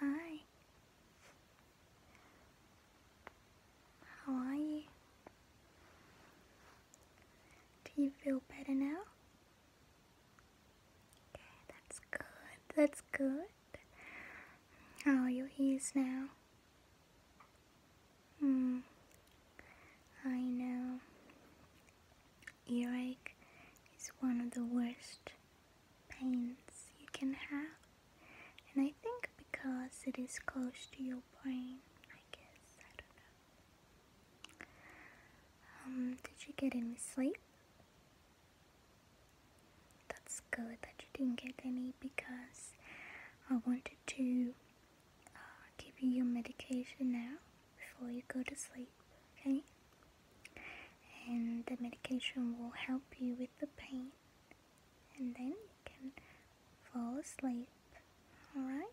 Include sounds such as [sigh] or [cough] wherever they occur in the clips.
Hi. How are you? Do you feel better now? Okay, that's good. That's good. How are your ears now? Hmm. I know. Earache is one of the worst pains you can have. And I think because it is close to your brain, I guess, I don't know. Um, did you get any sleep? That's good that you didn't get any because I wanted to uh, give you your medication now before you go to sleep okay and the medication will help you with the pain and then you can fall asleep alright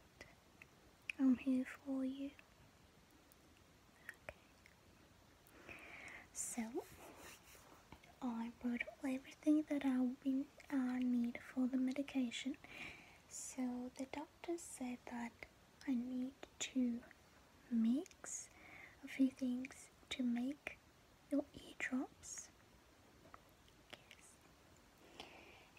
I'm here for you okay so I brought everything that I uh, need for the medication so the doctor said that I need to mix a few things to make your eardrops. Yes.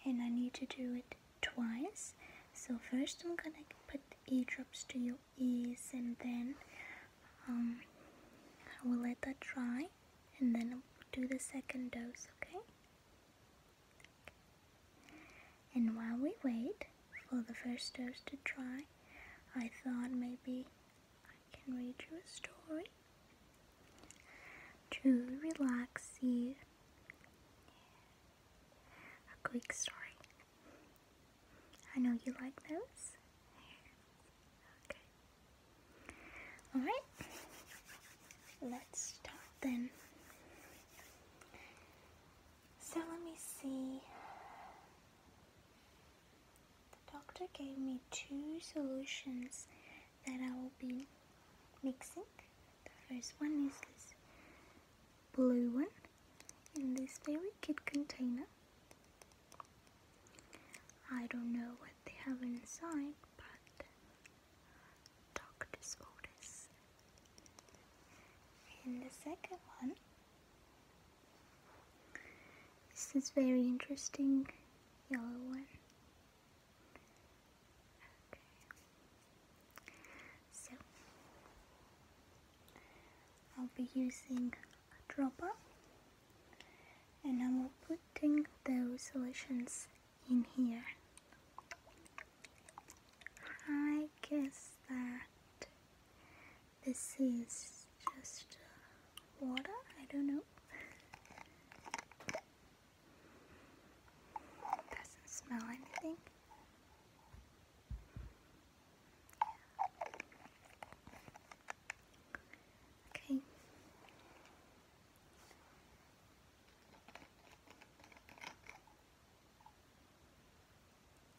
And I need to do it twice. So first I'm gonna put eardrops to your ears and then um, I will let that dry and then do the second dose, okay? And while we wait for the first dose to dry, I thought maybe I can read you a story to relax you. A quick story. I know you like those. Okay. Alright. Let's start then. So let me see. The doctor gave me two solutions that I will be mixing. The first one is this blue one in this very cute container. I don't know what they have inside, but doctor's orders. And the second one this is very interesting yellow one. So I'll be using a dropper and I'm putting those solutions in here. I guess that this is just uh, water, I don't know. Doesn't smell anything. Okay.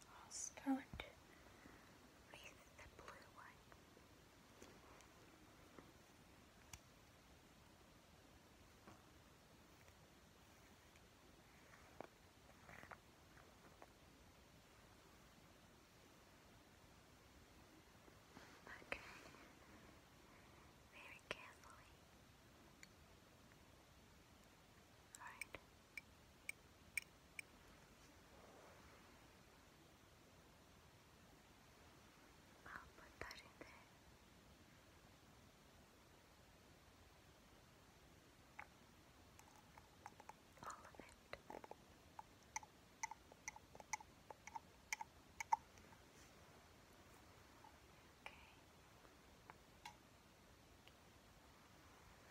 I'll start with the blue one. Okay, very carefully. All right. I'll put that in there. All of it. Okay.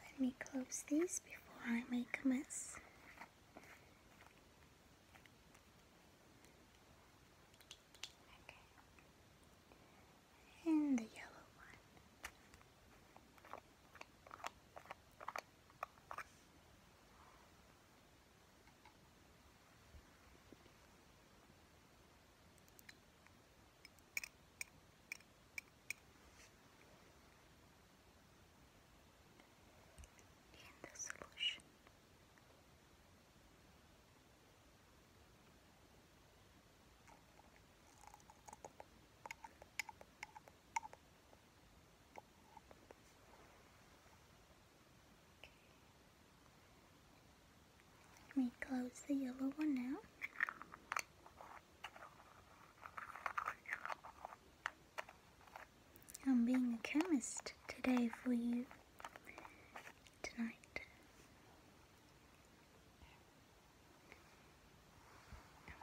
Let me close these before I make a mess. Okay. And the yellow one in the solution. Okay. Let me close the yellow one now. I'm being a chemist today for you. Tonight.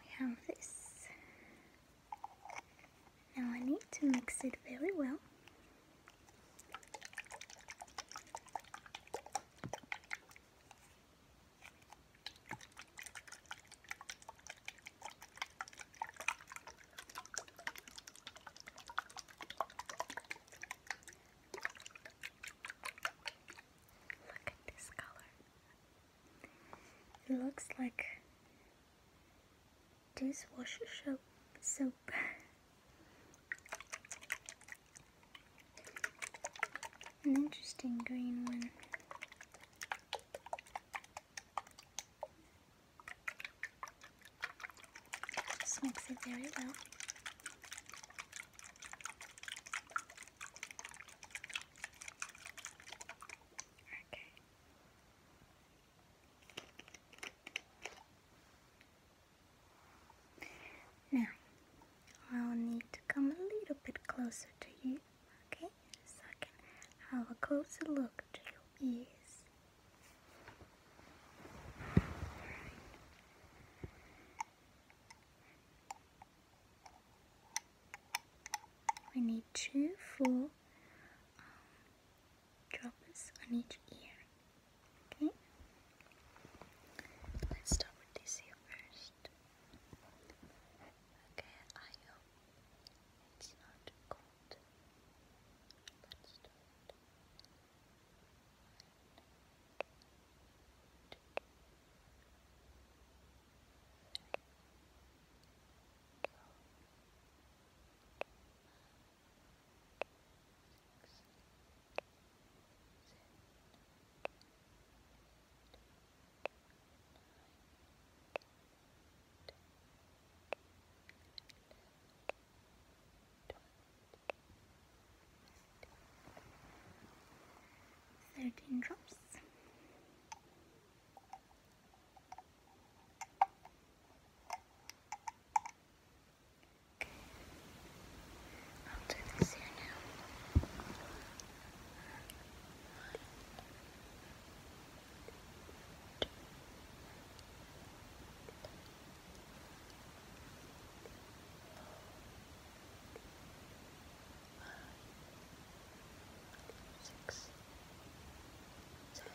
we have this. Now I need to mix it very well. Look at this color. It looks like dishwasher soap. soap. [laughs] an interesting green one. Just mix it very well. Okay. Now, I'll need to come a little bit closer to you. Okay, so I can have a closer look to your ears. We need two four um, on each ear. Okay, let's start with this ear touched. Okay, I it's not cold. Let's Thirteen drops. Okay. I'll do this here now six, seven, eight, nine,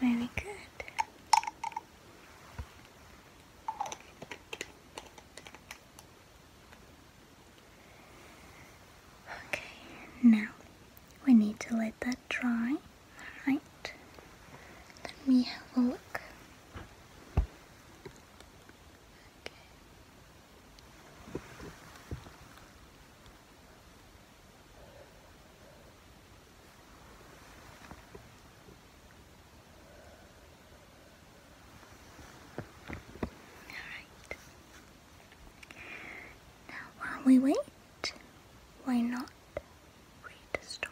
Very good. Okay, now we need to let that dry. Alright, let me have a look. Now, while we wait, why not read the story?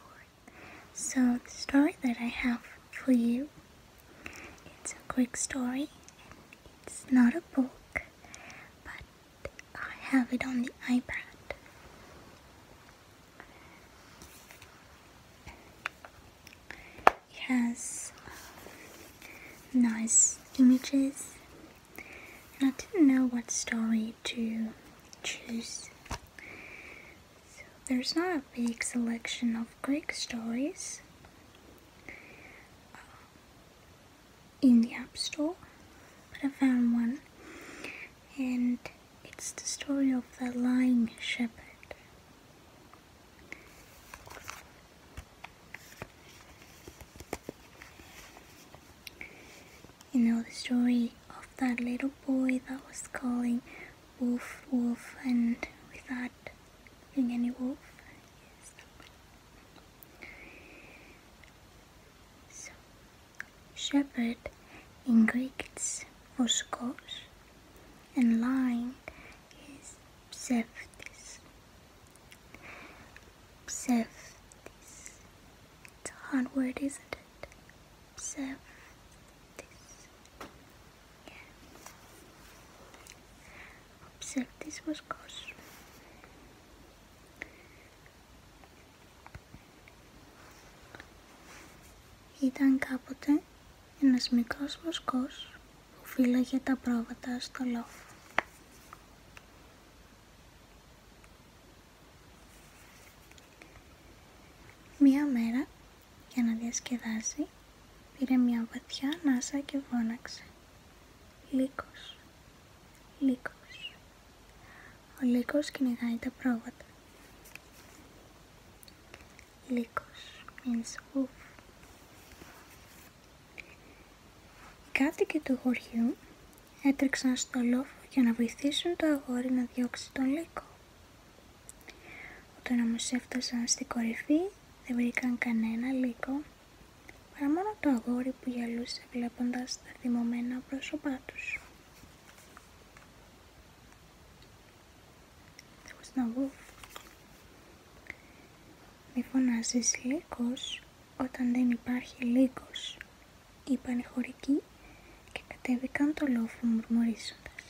So, the story that I have for you it's a quick story it's not a book, but I have it on the iPad. It has um, nice images, and I didn't know what story to choose. So there's not a big selection of Greek stories uh, in the App Store, but I found one, and it's the story of the lying shepherd. You know the story of that little boy that was calling wolf, wolf, and without being any wolf. Yes. shepherd in Greek it's voskos, and lion is pseftis. Pseftis. It's a hard word, isn't it? Pseftis. this. Ήταν κάποτε ένας μικρός βοσκός που φύλαγε τα πρόβατα στο λόφο. Μία μέρα για να διασκεδάσει, πήρε μια βαθιά ανάσα και φώναξε. Λύκος, λύκος. Ο λύκος κυνηγάει τα πρόβατα. Λύκος means wolf. Οι κάτοικοι του χωριού έτρεξαν στο λόφο για να βοηθήσουν το αγόρι να διώξει τον λύκο. Όταν όμως έφτασαν στην κορυφή δεν βρήκαν κανένα λύκο παρά μόνο το αγόρι που γυαλούσε, βλέποντας τα θυμωμένα πρόσωπά τους. Μη φωνάζεις λύκο όταν δεν υπάρχει λύκος, είπαν οι χωρικοί και κατέβηκαν το λόφο μουρμουρίζοντας.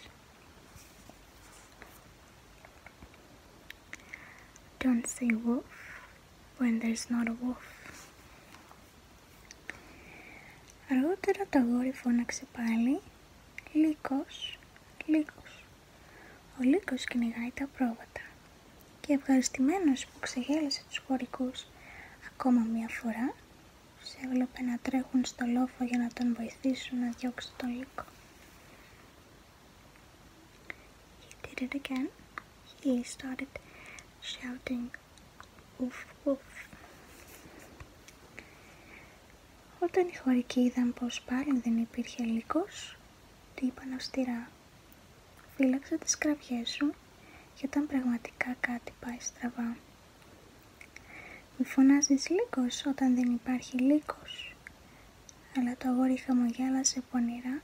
Don't say wolf when there's not a wolf. Αργότερα το αγόρι φώναξε πάλι «Λύκος, Λύκος». Ο Λύκος κυνηγάει τα πρόβατα και ευχαριστημένος που ξεγέλασε τους χωρικούς ακόμα μία φορά, Σε έβλεπε να τρέχουν στο λόφο για να τον βοηθήσουν να διώξει τον Λύκο. He He started shouting, Όταν οι χωρικοί είδαν πως πάλι δεν υπήρχε υλικός, του είπαν αυστηρά «Φύλαξε τις κραυγές σου και όταν πραγματικά κάτι πάει στραβά. Μη φωνάζεις λύκος όταν δεν υπάρχει λύκος». Αλλά το αγόρι χαμογέλασε πονηρά,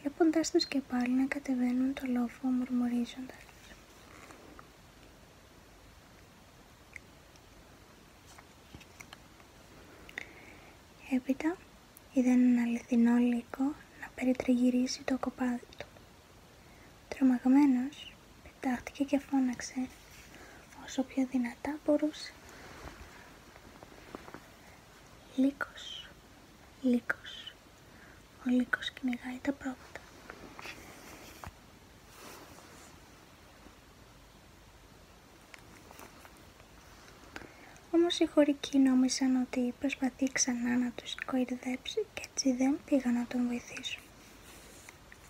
βλέποντάς τους και πάλι να κατεβαίνουν το λόφο μουρμουρίζοντας. Έπειτα είδε έναν αληθινό λύκο να περιτριγυρίσει το κοπάδι του. Τρομαγμένος, πετάχτηκε και φώναξε όσο πιο δυνατά μπορούσε. Λύκος, λύκος. Ο λύκος κυνηγάει τα πρόβατα. Όμως οι χωρικοί νόμισαν ότι προσπαθεί ξανά να τους κορυδέψει και έτσι δεν πήγαν να τον βοηθήσουν.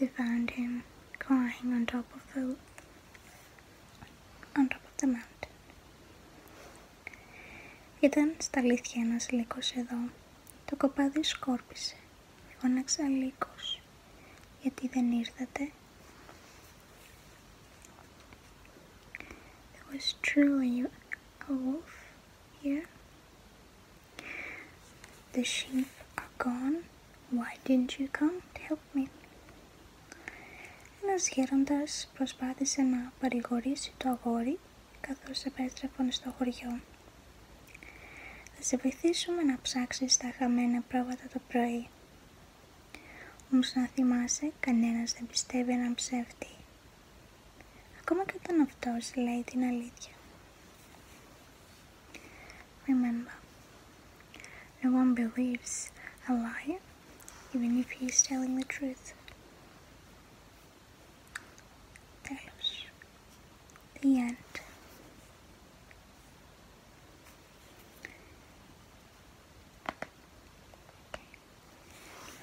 we found him crying on top of the on top of the mountain. Ήταν στα αλήθεια ένας λύκος εδώ. Το κοπάδι σκόρπισε. Φώναξα λύκος. Γιατί δεν ήρθατε. There was truly a wolf here. The sheep are gone. Why didn't you come to help me. Ένας γέροντας προσπάθησε να παρηγορήσει το αγόρι καθώς επέστρεφαν στο χωριό. Θα σε βοηθήσουμε να ψάξεις τα χαμένα πρόβατα το πρωί. Όμως να θυμάσαι, κανένας δεν πιστεύει έναν ψεύτη. Ακόμα και όταν αυτός λέει την αλήθεια. Remember, no one believes a lie, even if he is telling the truth. There's the end.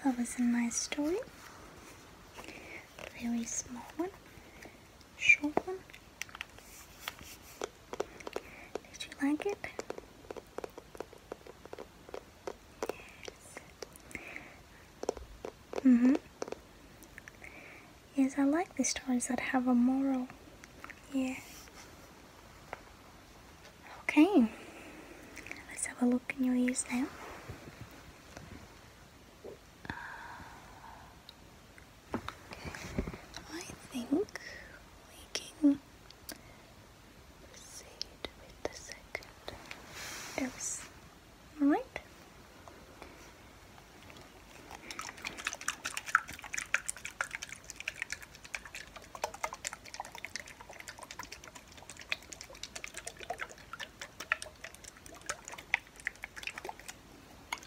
That was a nice story. Very small one, short one. Did you like it? Yes. Mm-hmm. Yes, I like the stories that have a moral. Yeah. Okay. Let's have a look in your ears now. I think we can proceed with the second oops. Alright.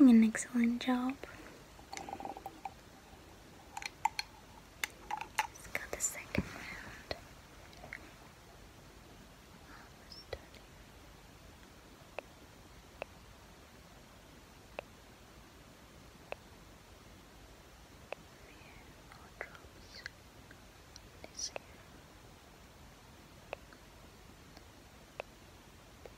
You're doing an excellent job. Let's go the second round. Almost done. Here, more drops. This here.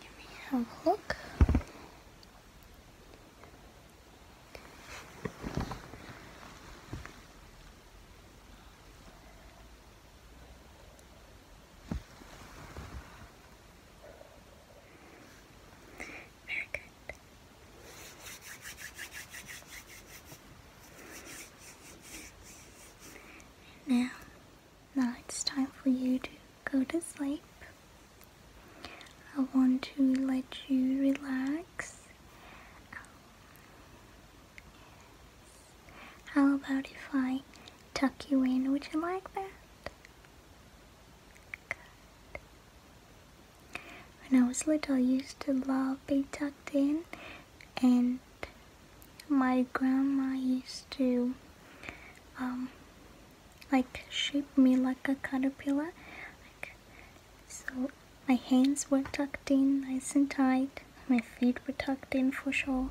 Let me have a look. Now, now it's time for you to go to sleep. I want to let you relax. How about if I tuck you in? Would you like that? When I was little, I used to love being tucked in, and my grandma used to um, like shape me like a caterpillar. so my hands were tucked in nice and tight. My feet were tucked in for sure.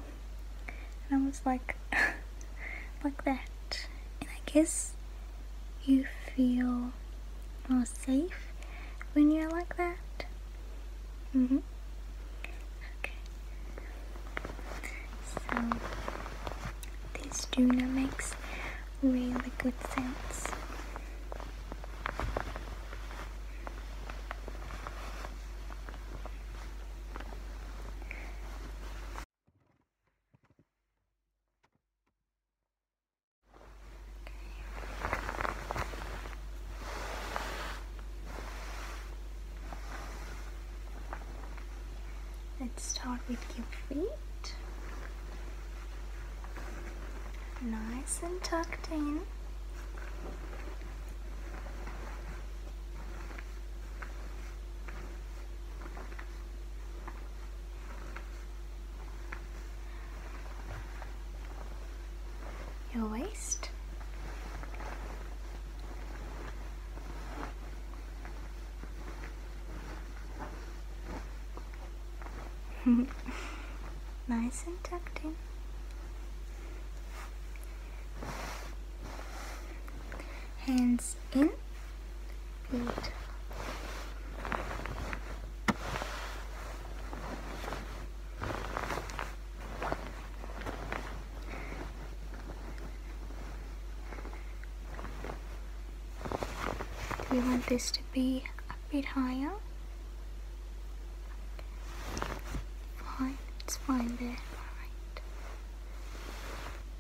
And I was like, [laughs] like that and I guess you feel more safe when you're like that. Mm hmm Okay. So this tuner makes really good sense. Let's start with your feet. Nice and tucked in your waist. [laughs] nice and tucked in. Hands in mm-hmm. We want this to be a bit higher. Fine, it's fine there.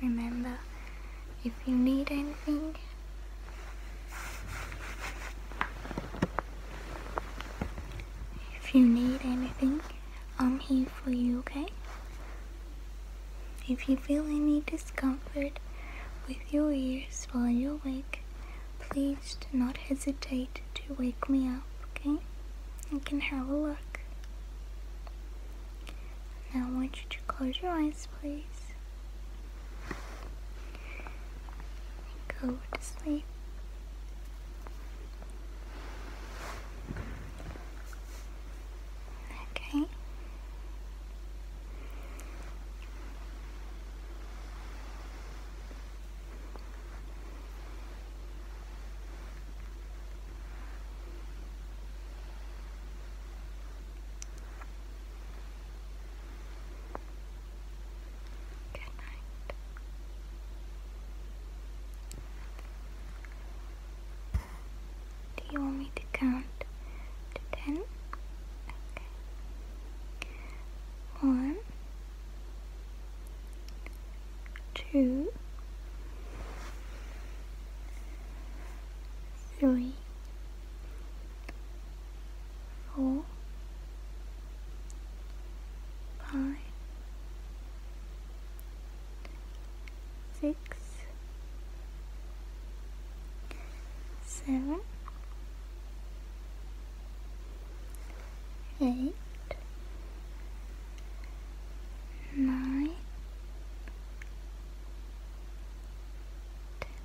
Remember, if you need anything, if you need anything, I'm here for you, okay? If you feel any discomfort with your ears while you're awake, please do not hesitate to wake me up, okay? I can have a look. Now I want you to close your eyes, please. Go to sleep. Okay. Good night. Do you want me to count to ten? One, two, three, four, five, six, seven, eight, nine, ten,